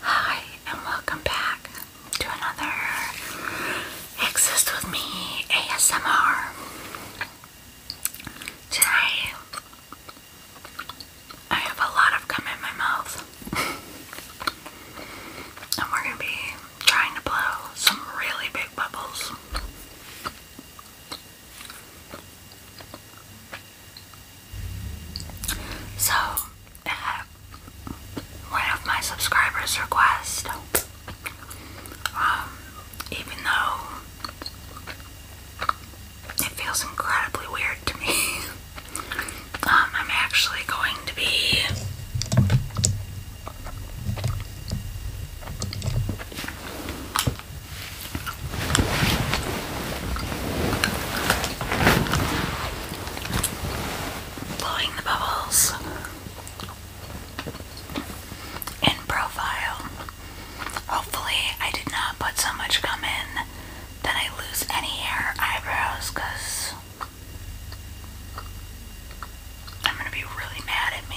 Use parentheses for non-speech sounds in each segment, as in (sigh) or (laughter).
Hi, and welcome back to another Exist With Me ASMR. Today, I have a lot of gum in my mouth, (laughs) and we're going to be trying to blow some really big bubbles. So, uh, one of my subscribers request, um, even though it feels incredibly weird to me, (laughs) um, I'm actually going to be Blowing the bubbles in profile. Hopefully, I did not put so much gum in that I lose any hair or eyebrows because I'm going to be really mad at me.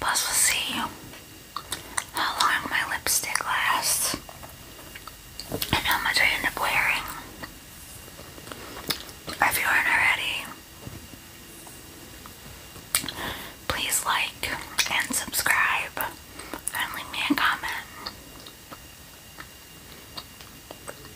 Plus, will see how long my lipstick lasts and how much I end up wearing. If you aren't already, please like and subscribe and leave me a comment.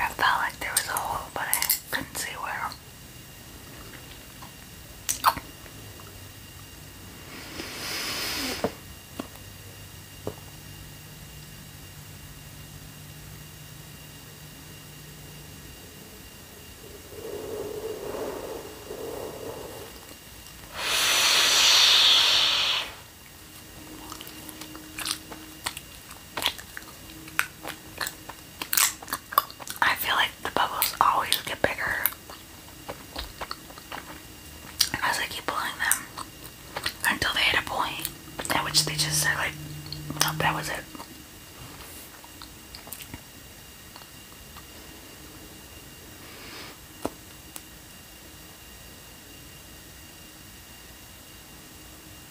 I felt like there was a hole, but I couldn't see where. I feel like the bubbles always get bigger as I keep pulling them until they hit a point at which they just are like, nope, that was it.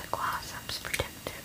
The glass is protective.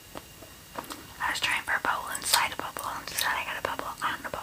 I was trying for a bubble inside a bubble, and instead I got a bubble on a bubble.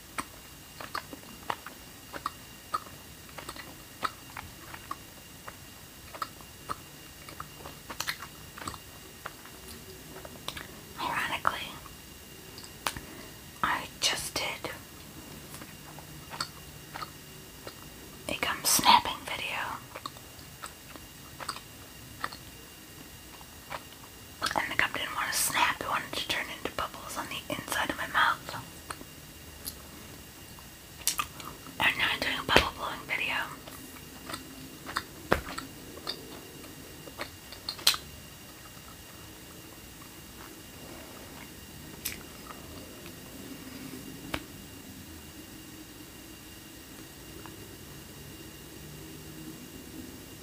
Ironically, I just did a gum snapping video and the cup didn't want to snap, it wanted to turn into bubbles on the inside of my mouth. I'm doing a bubble blowing video.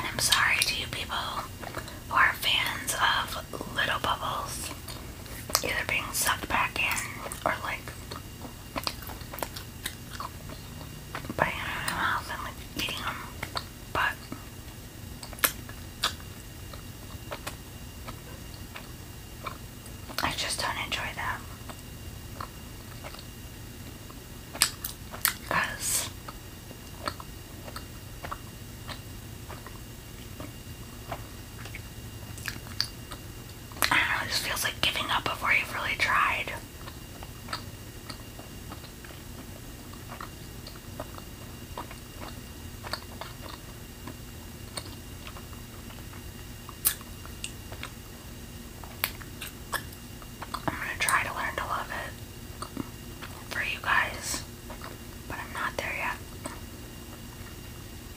And I'm sorry to you people who are fans of little bubbles either being sucked back in or like putting my mouth and like eating them. But I just don't enjoy that. Because I don't know, it just feels like giving up before you've really tried. I'm gonna try to learn to love it for you guys, but I'm not there yet.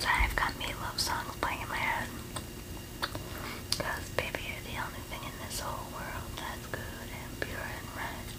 So I've got me love songs playing in my head. baby, you're the only thing in this whole world that's good and pure and right.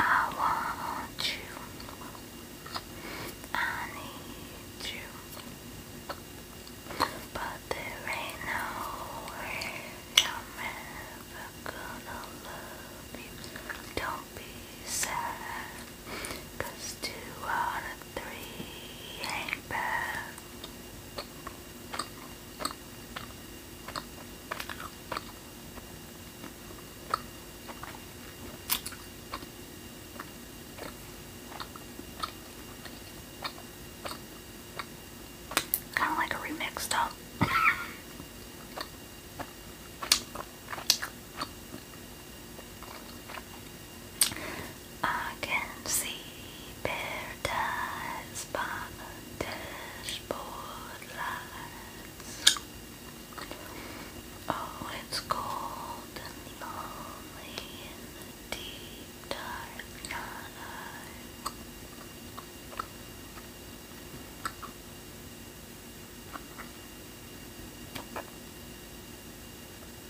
I want you. I need you. But there ain't no way I'm ever gonna love you. Don't be sad. two out three Kind of like a remix though. I can see paradise by the dashboard lights. Oh, it's cold and lonely in the deep dark night.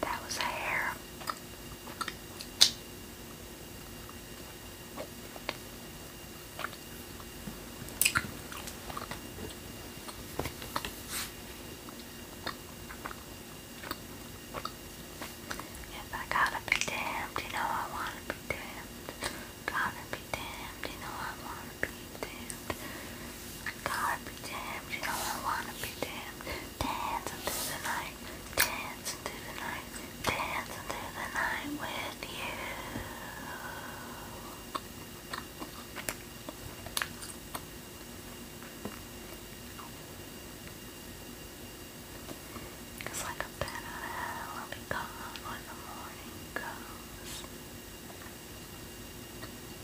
That was a hair. If I gotta be damned, you know I wanna be damned. Gotta be damned, you know I wanna be damned. Gotta be damned, you know I wanna be damned. Dance into the night, dance into the night, dance into the night with you. Cause like a bat out of hell, I'll be gone when the morning comes.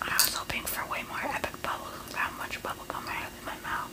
I was hoping for way more epic bubbles with how much bubble gum I have in my mouth.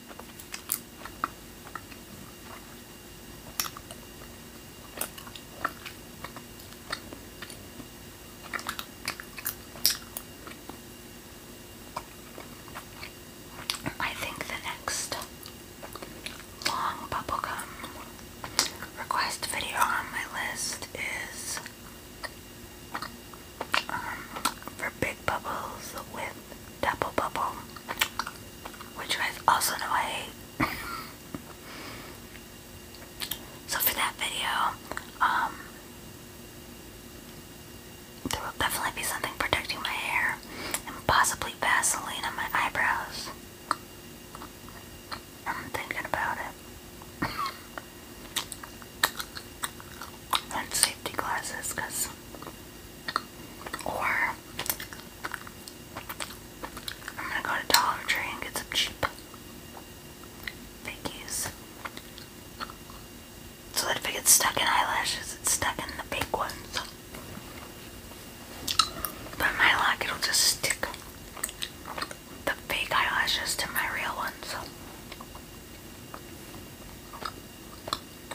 I think the next long bubblegum request video on my list is um, for big bubbles with double bubble, which was also know I hate. (laughs) so for that video, um, there will definitely be something protecting my hair and possibly Vaseline on my eyebrows. I'm thinking about it. (laughs) and safety glasses, because or I'm gonna go to Dollar Tree and get some cheap fakies. So that if it gets stuck in eyelashes, it's stuck in the big ones. But my luck, it'll just stick the fake eyelashes to my real ones.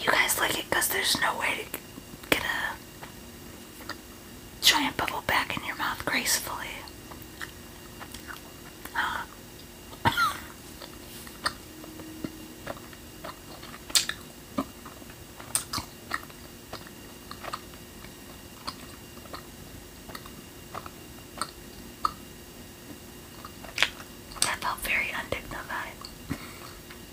You guys like it because there's no way to get a giant bubble back in your mouth gracefully. That felt very undignified.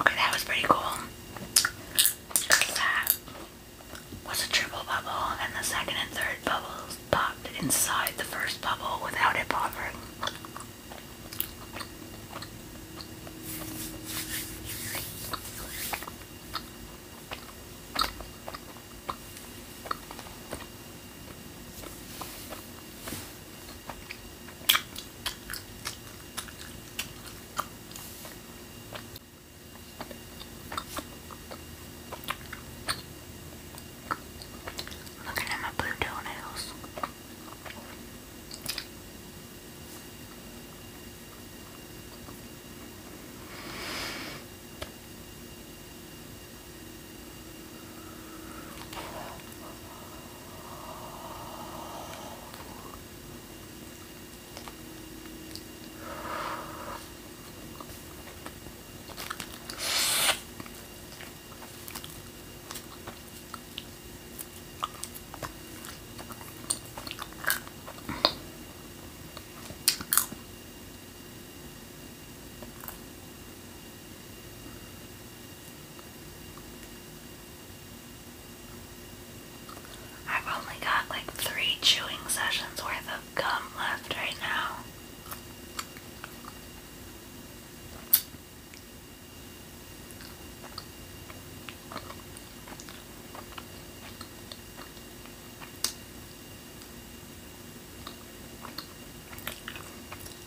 Okay, that was pretty cool. That a triple bubble, and the second and third bubbles pop inside the first bubble without it popping. Looking at my blue toenails. I've only got like three chewing sessions worth of gum left right now.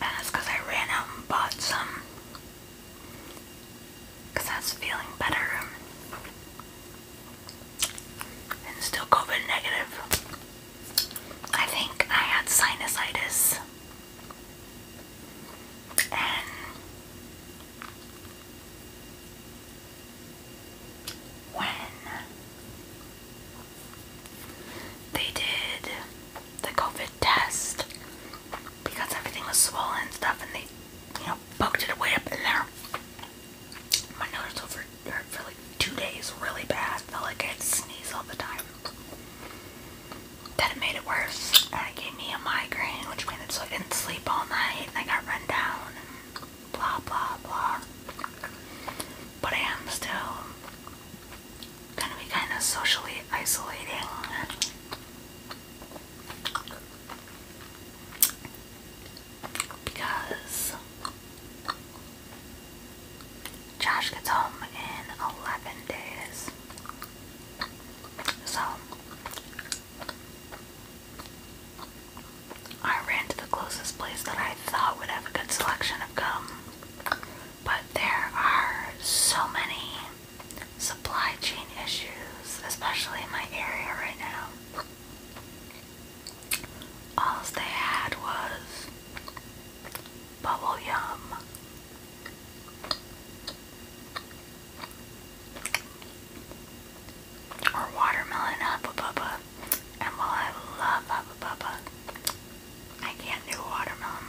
And that's I ran out and bought some. I was feeling better. And still COVID negative. I think I had sinusitis and when they did the COVID test because everything was swollen and stuff and they you know poked it way up in there my nose over for, like two days really bad. Felt like i had to sneeze all the time. That it made it worse, and it gave me a migraine, which made it so I didn't sleep all night, and I got run down, blah blah blah. But I am still gonna be kind of socially isolating. Because Josh gets home in 11 days. So, I ran to the closest place that I thought would have a good selection of gum. But there are so many supply chain issues, especially in my area right now. All they had was Bubble Yum. Or watermelon Hubba Bubba. And while I love Hubba Bubba, I can't do watermelon.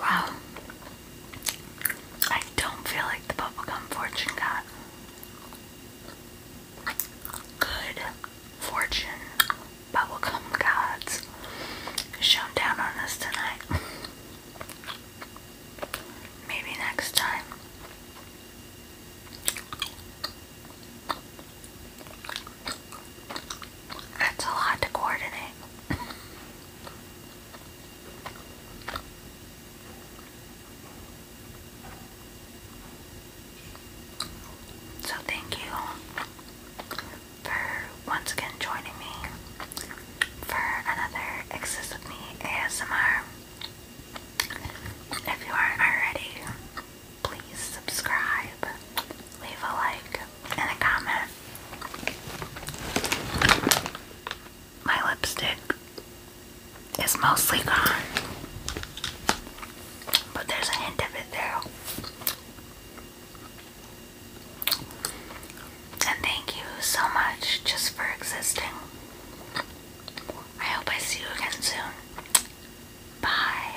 Wow. I don't feel like the bubblegum fortune got good fortune bubblegum gods shone down on us tonight. Maybe next time. That's a lot to coordinate. so thank you for once again joining me for another Exist of Me ASMR. If you aren't already, please subscribe, leave a like, and a comment. My lipstick is mostly gone, but there's a hint of it there. And thank you so much just for existing. I hope I see you again soon. Bye.